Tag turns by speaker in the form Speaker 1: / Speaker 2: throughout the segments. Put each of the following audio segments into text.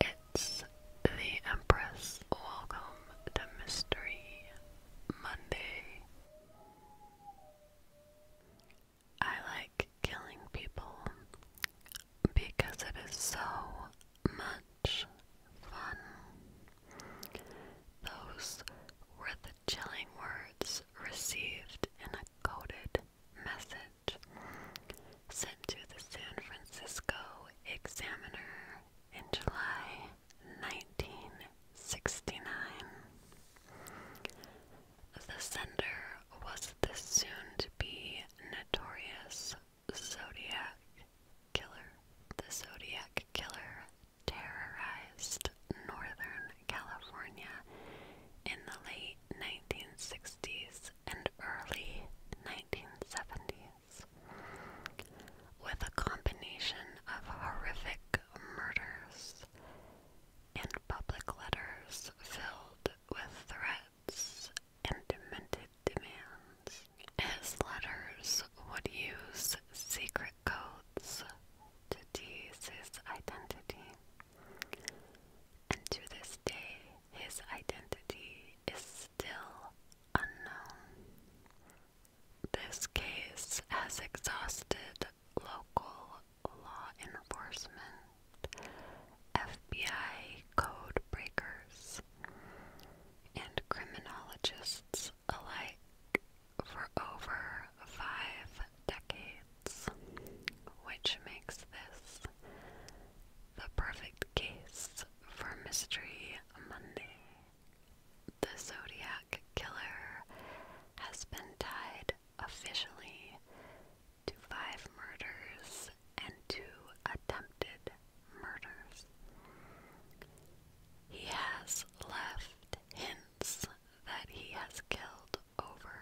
Speaker 1: It's the Empress. Welcome to Mystery Monday. I like killing people because it is so much fun. Those were the chilling words received in a coded message sent to the San Francisco Examiner in July 1969. The sender was the soon to be notorious Zodiac Killer. The Zodiac Killer terrorized Northern California in the late 1960s and early 1970s, with a combination of horrific murders and public letters filled with threats and demented demands. His letters would use secret codes to tease his identity, and to this day, his identity is still unknown. This case has exhausted local law enforcement, FBI code breakers, and criminologists alike for over five decades, which makes this the Perfect Case for Mystery Monday. The Zodiac Killer has been tied officially to five murders and two attempted murders. He has left hints that he has killed over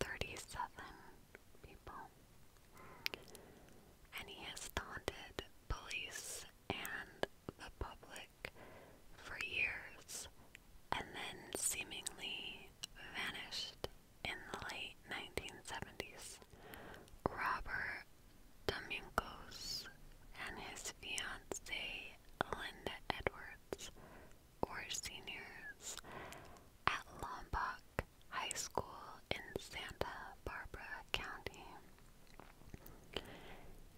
Speaker 1: 37 people. And he has taunted police and the public for years and then seemingly vanished in the late 1970s. Robert Domingos and his fiancee Linda Edwards were seniors at Lombok high school in Santa Barbara County.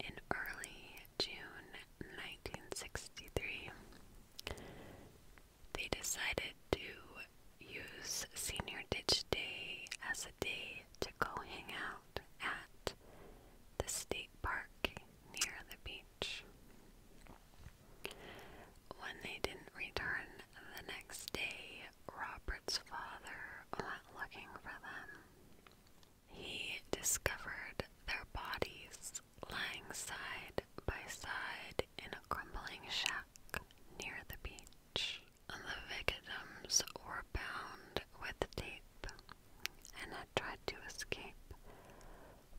Speaker 1: In early June 1963, they decided to use Senior Ditch Day as a day to go hang out at the state park near the beach. When they didn't return the next day, Robert's father went looking for them. He discovered their bodies lying side by side in a crumbling shack near the beach. The victims were bound with tape and had tried to escape,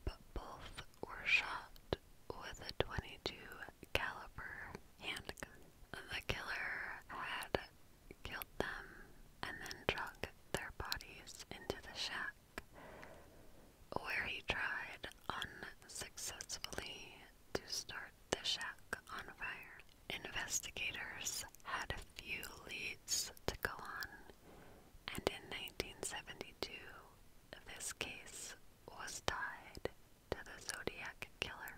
Speaker 1: but both were shot with a 22 caliber handgun. The killer had killed them and then drug their bodies into the shack, where he tried unsuccessfully to start the shack on fire. Investigators had a few leads to go on, and in 1972, this case was tied to the Zodiac Killer.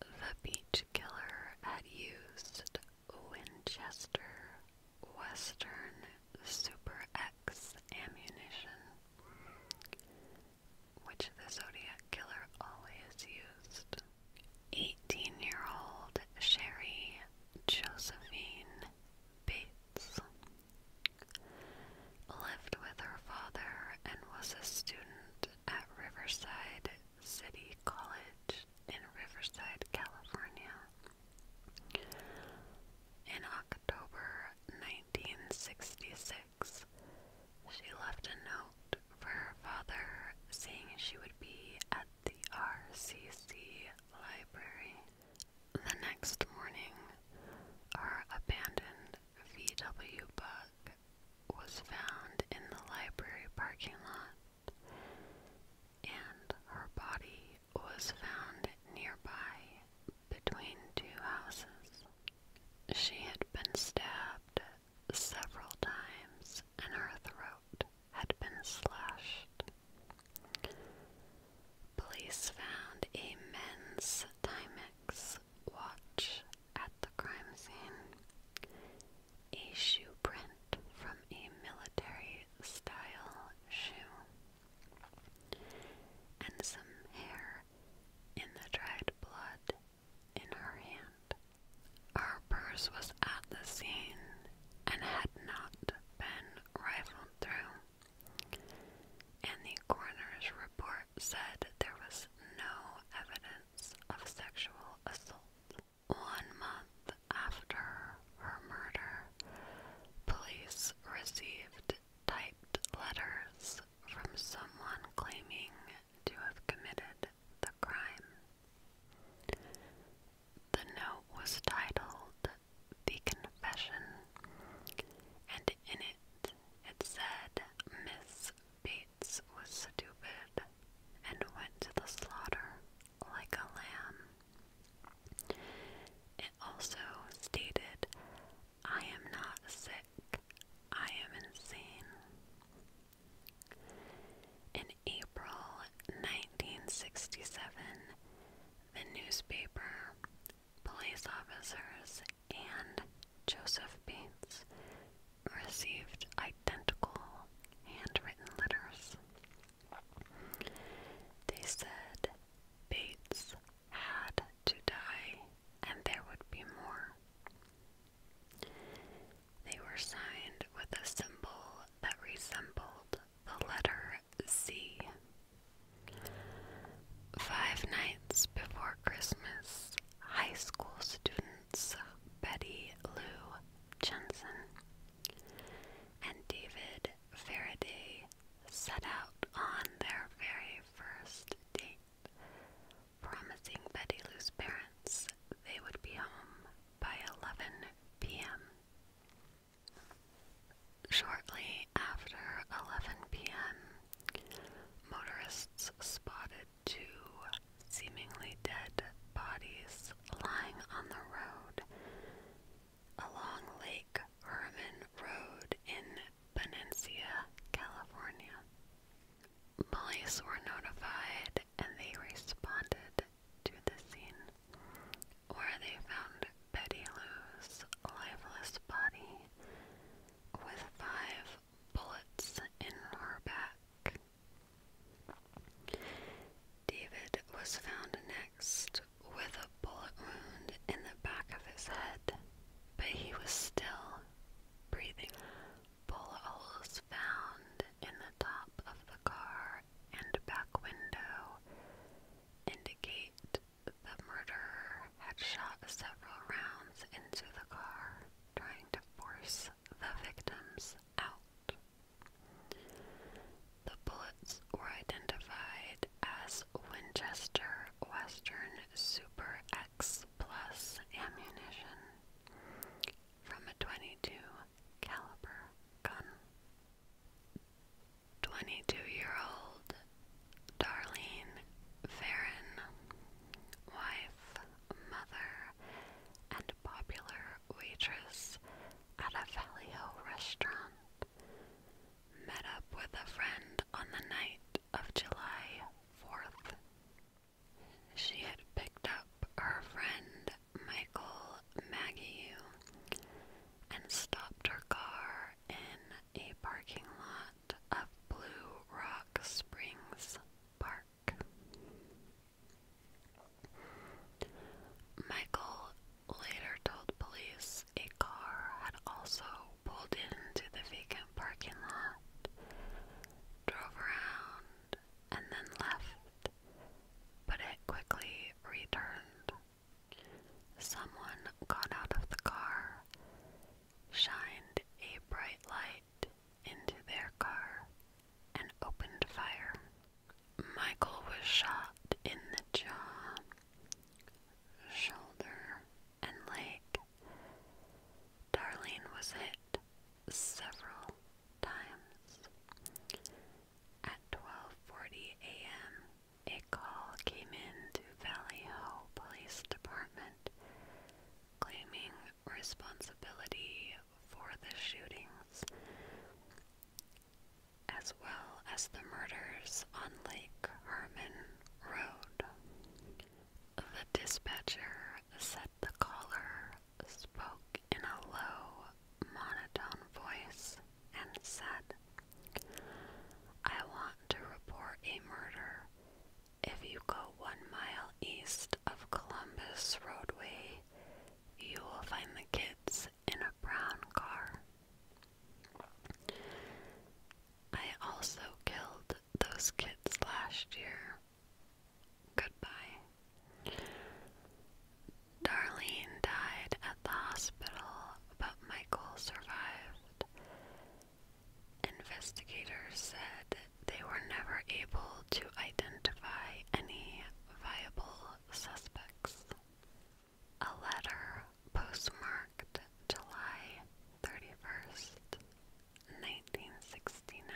Speaker 1: The Beach Killer had used Winchester Western Super X ammunition, which the Zodiac Killer always used. 18 year old Sherry Josephine Bates lived with her father and was a student at Riverside City College in Riverside, California. In October 1966, she left a note for her father saying she would be at the RCC library. The next morning, our abandoned VW bug was found in the library parking lot, and her body was found nearby between two houses. She had been stabbed several times, and her throat had been slashed. Police found a men's Timex watch at the crime scene. A shoe print from a military style shoe. And some hair in the dried blood in her hand. Our purse was at the scene and had not been rifled through. And the coroner's report said there was no evidence of sexual assault. One month after her murder, police received typed letters from someone claiming to have committed the crime. The note was titled The Confession, and in it it said Miss Beats was stupid and went to the slaughter like a lamb. It also stated, I am not sick, I am insane. In April 1967, the newspaper, police officers, and Joseph Bates received identical handwritten letters. They said Bates had to die and there would be more. They were signed with a symbol that resembled the letter C. Five nights before Christmas, high school students Betty Lou Jensen and David Faraday set out on their very first date, promising Betty Lou's parents they would be home by 11 p.m. Shortly after 11 p.m., motorists spotted two seemingly dead bodies lying on the road along Lake Herman Road in Benicia, California. Police were notified and they responded to the scene where they found Betty Lou's lifeless body with five bullets in her back. David was found next with a bullet wound in the back of his head, but he was still breathing. Bullet holes found in the top of the car and back window indicate the murderer had shot several rounds into the car, trying to force the victims out. The bullets were identified as Winchester Western Super X Plus ammunition from a 22 caliber gun. 22-year-old Darlene Farron, wife mother, and popular waitress at a Vallejo restaurant, met up with a friend on the night of July 4th. She had picked up her friend Michael Maggie and stopped her car in a parking lot of Blue Rock Springs. Park. Michael later told police a car had also pulled into the vacant parking lot, drove around, and then left, but it quickly returned. Someone got out of the car, shined a bright light night into their car and opened fire. Michael was shot in the jaw, shoulder, and leg. Darlene was hit several times. At 12:40 a.m., a call came in to Valley Ho Police Department claiming responsibility for the shootings, as well as the murders on Lake Herman Road. The dispatcher said the caller spoke in a low, monotone voice and said, I want to report a murder if you go one mile east of Columbus Roadway, you will find the kids in a brown car. I also killed those kids last year. Goodbye. Darlene died at the hospital, but Michael survived. Investigators said they were never able to identify any viable suspects. A letter postmarked July 31st, 1969,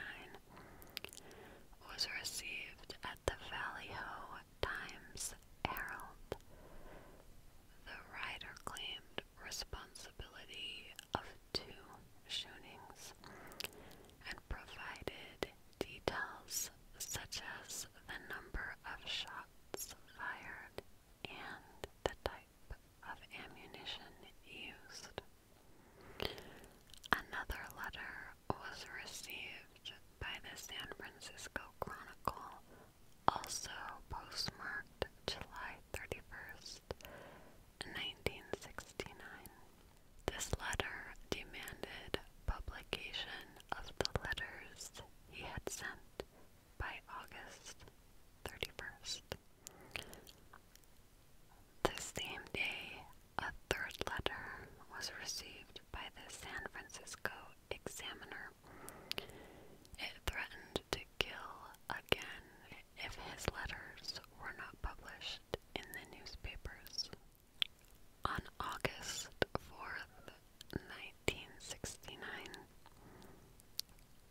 Speaker 1: was received at the Valley Ho Times Herald. The writer claimed responsibility of two shootings and provided details such as the number of shots fired and the type of ammunition used. Another letter was received by the San Francisco Chronicle, also postmarked July 31st, 1969. This letter demanded publication of the letters he had sent by August 31st. The same day, a third letter was received by the San Francisco Examiner. It threatened to kill again if his letters were not published in the newspapers. On August 4, 1969,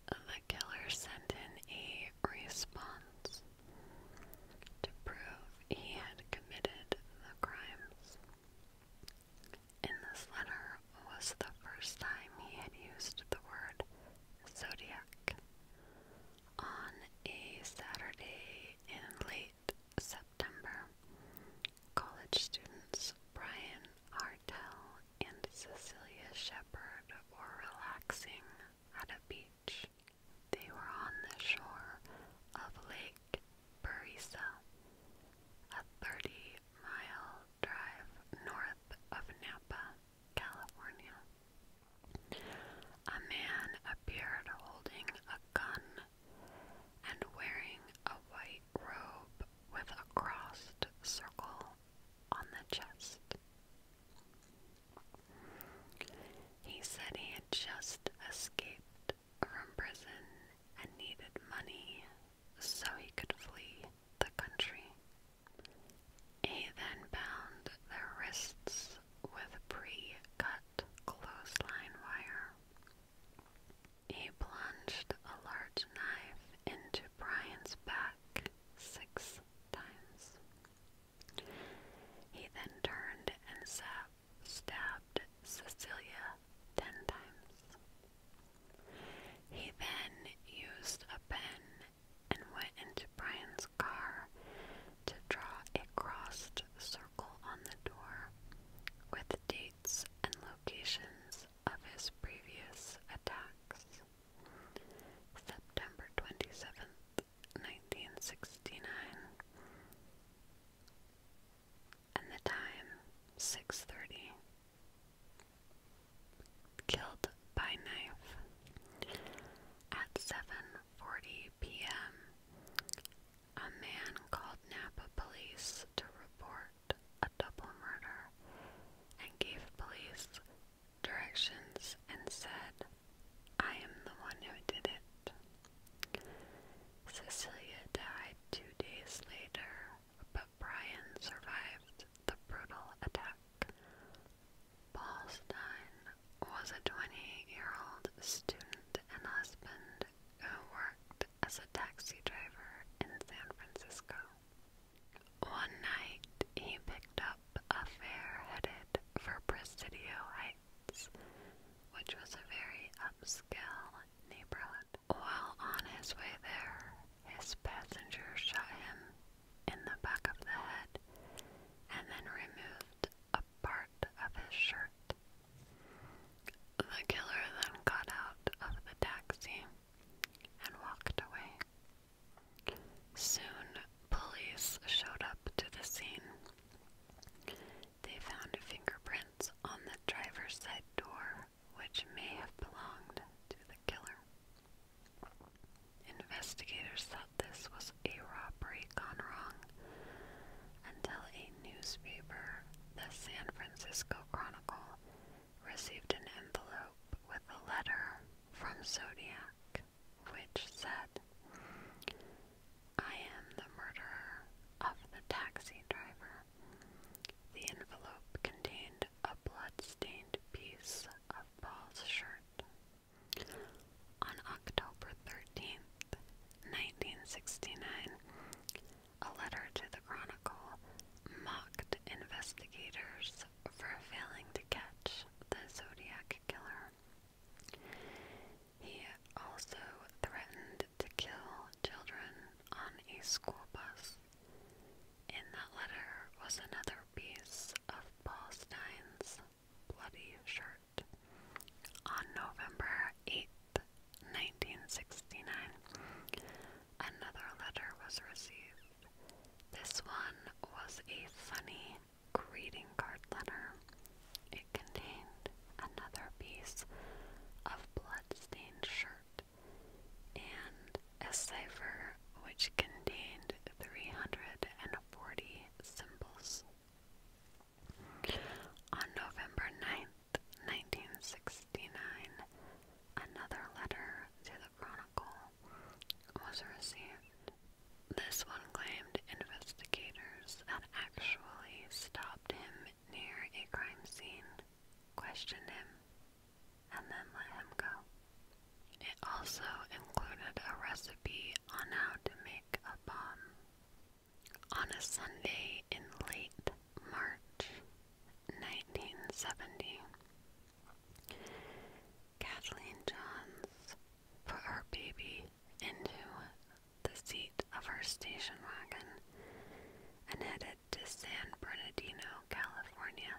Speaker 1: the killer sent in a response to prove he had committed the crimes. In this letter was the first time he had used the word zodiac, on a Saturday in late September. College students Brian Artell and Cecilia Shepard were relaxing at a beach. They were on the shore of Lake Parisa, a 30 mile drive north of Napa. California. A man appeared holding a gun and wearing a white robe with a crossed circle on the chest. He said he had just escaped from prison and needed money so he could flee the country. He then bound their wrists with pre-cut clothesline wire. He plunged a large knife into Brian's back six times. He then turned and stabbed Cecilia ten times. He then used a pen and went into Brian's car to draw a crossed circle on the door with dates and locations of his previous attacks. September 27th, 1969. And the time, 6.30 killed by knife. At 7:40 p.m., a man called Napa police to report a double murder and gave police directions and said, "I am the one who did it." Cecilia died 2 days later, but Brian survived the brutal attack. Ballstein was a 28-year-old student and husband who worked as a taxi driver in San Francisco. One night, he picked up a fare headed for Presidio Heights, which was a very upscale neighborhood. While on his way there, his passenger shot him in the back of the head and then removed a part of his shirt. The killer then got out of the taxi and walked away. Soon, police showed up to the scene. They found fingerprints on the driver's side door, which may have belonged to the killer. Investigators thought this was a robbery gone wrong until a newspaper, the San Francisco Chronicle, received an envelope with a letter from Zodiac which said, I am the murderer of the taxi driver. The envelope contained a blood-stained piece of Paul's shirt. On October thirteenth, nineteen 1969, a letter to the Chronicle mocked investigators for failing to catch the Zodiac killer. He also threatened to kill children on a school bus. In that letter was another piece of Paul Stein's bloody shirt. On November 8, 1969, another letter was received. This one was a funny greeting card letter. It contained another piece of blood-stained shirt and a cipher which contained 340 symbols. On November 9th, 1969, another letter to the Chronicle was received. This one claimed investigators had actually stopped him near a crime scene, questioned him, and then let him go. It also included a recipe on how to make a bomb. On a Sunday in late March 1970, Kathleen Johns put her baby into the seat of her station wagon and headed to San Bernardino, California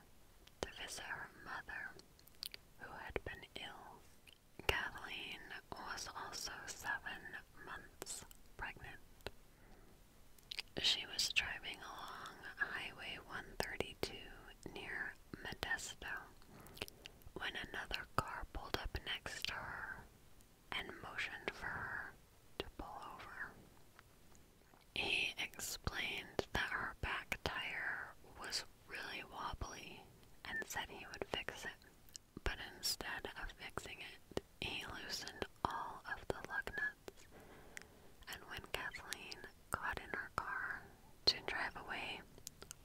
Speaker 1: to visit her mother who had been ill. Kathleen was also seven months pregnant. She was driving along Highway 132 near Modesto when another car pulled up next to her and motioned for her to pull over. He explained that her back tire was really wobbly and said he would fix it. But instead of fixing it, he loosened all of the lug nuts. And when Kathleen got in her car to drive away,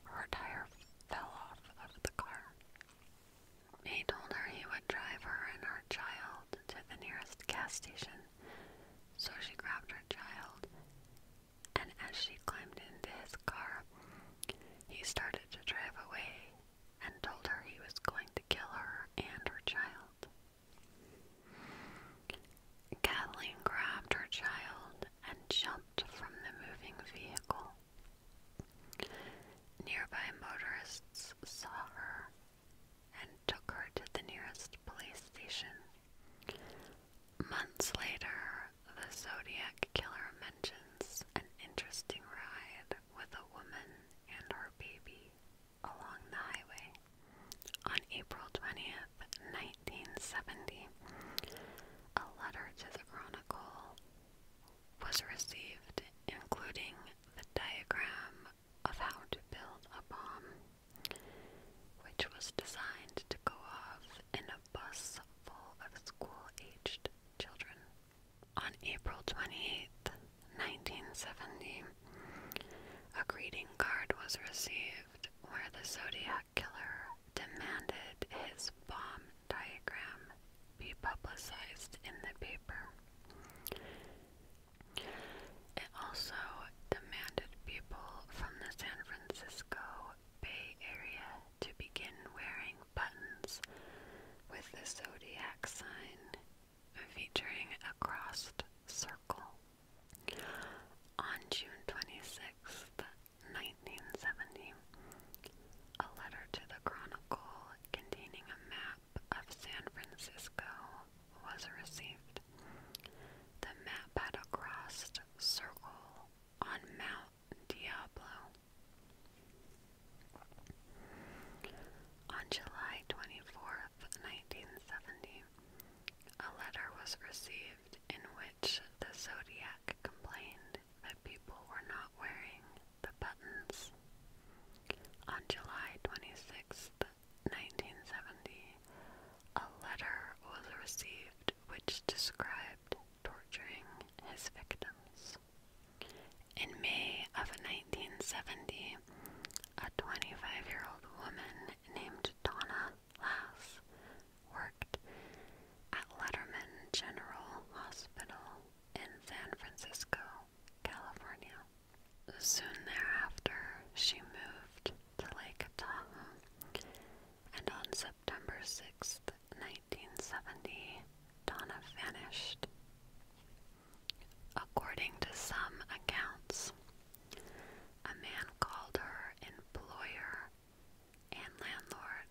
Speaker 1: her tire fell off of the car. He told her he would drive her and her child to the nearest gas station, so she grabbed her child and as she climbed into his car, he started to drive away and told her he was going to kill her and her child. Kathleen grabbed her child and jumped from the moving vehicle. Nearby motorists saw her and took her to the nearest police station. Months later, the Zodiac Killer mentions an interesting ride with a woman and her baby along the highway. On April 20th, 1970, a letter to the Chronicle was received, including the diagram of how to build a bomb, which was designed to go off in a bus full of school-aged children. On April 28, 1970, a greeting card was received where the Zodiac Killer demanded his bomb diagram be publicized in the paper. It also demanded people from the San Francisco Bay Area to begin wearing buttons with the zodiac sign featuring a crossed circle. On June 26, 1970, a letter to the Chronicle containing a map of San Francisco was received. The map had a crossed circle on Mount Diablo. On July 24th, 1970, a letter was received in which the Zodiac complained that people were not wearing the buttons. On July 26th, 1970, a letter was received which described torturing his victims. In May of 1970, a 25 year old woman named Donna Lass worked at Letterman General Hospital in San Francisco, California. Soon thereafter, she moved to Lake Tahoe and on September sixth, 1970, Donna vanished. According to some accounts, a man called her employer and landlord,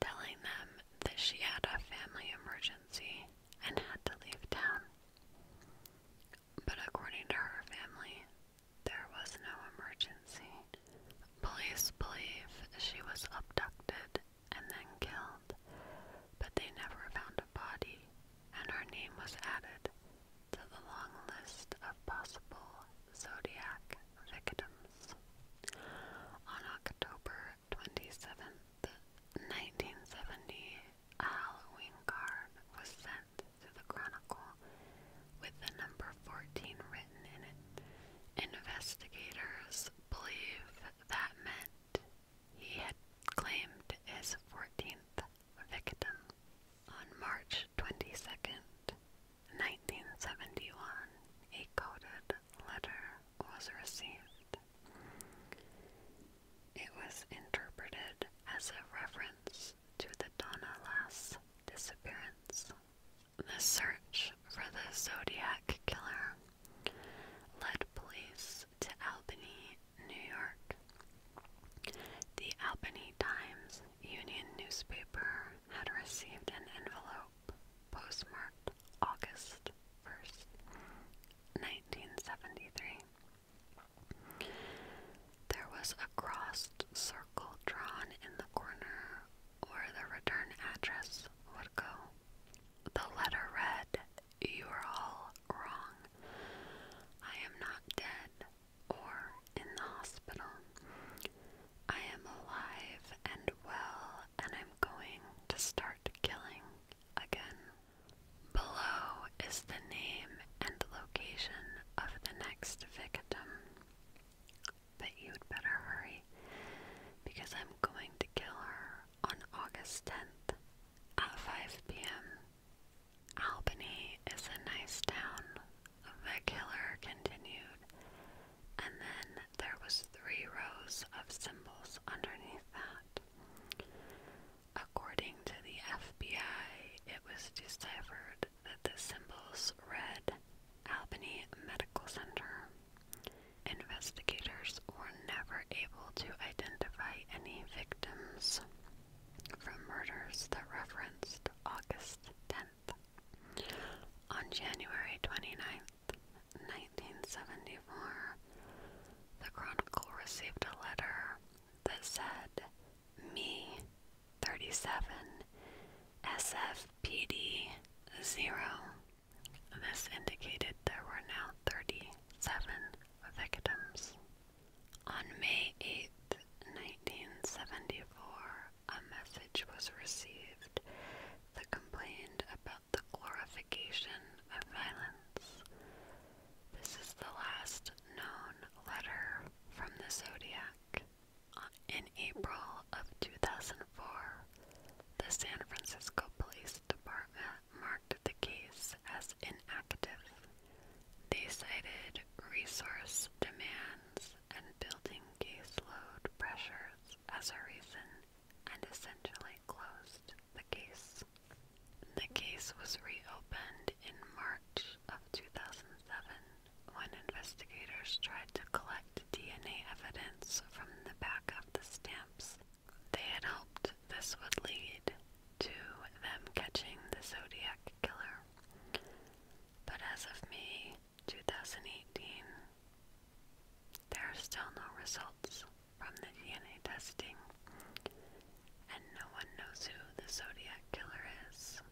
Speaker 1: telling them that she had a family emergency and had to leave town. But according to her family, there was no emergency. Police believe she was abducted and then killed, but they never found a body, and her name was added to the long list of possible Zodiac victims. On October 27th, 1970, a Halloween card was sent the Chronicle with the number 14 written in it. Investigators believe that meant he had claimed his 14th victim. On March 22nd, 1971, a coded letter was received. It was interpreted as a reference to the Donna Lass disappearance. The search for the Zodiac killer led police to Albany, New York. The Albany Times Union newspaper had received an envelope postmarked August 1st, 1973. There was a crossed circle drawn in the corner where the return address would go. The letter read, You are all wrong. I am not dead or in the hospital. I am alive and well, and I'm going to start killing again. Below is the name and location of the next victim but you'd better hurry because I'm going to kill her on August 10th at 5 p.m. Albany is a nice town, the killer continued, and then there was three rows of symbols underneath that. According to the FBI, it was deciphered that the symbols read Albany Medical Center. Investigators were never able to identify any victims from murders that referenced August 10th. On January 29th, 1974, the Chronicle received a letter that said me 37 SFPD 0. This indicated there were now 37 victims. On May 8, 1974, a message was received that complained about the glorification of violence. This is the last known letter from the Zodiac in April of 2004, the San Francisco Police Department marked the case as inactive. They cited resource demands and building caseload pressures as a reason and essentially closed the case. The case was reopened in March of 2007 when investigators tried to collect DNA evidence from the back of the stamps they had hoped this would lead to them catching the Zodiac killer. But as of May 2018, there are still no results from the DNA testing, and no one knows who the Zodiac killer is.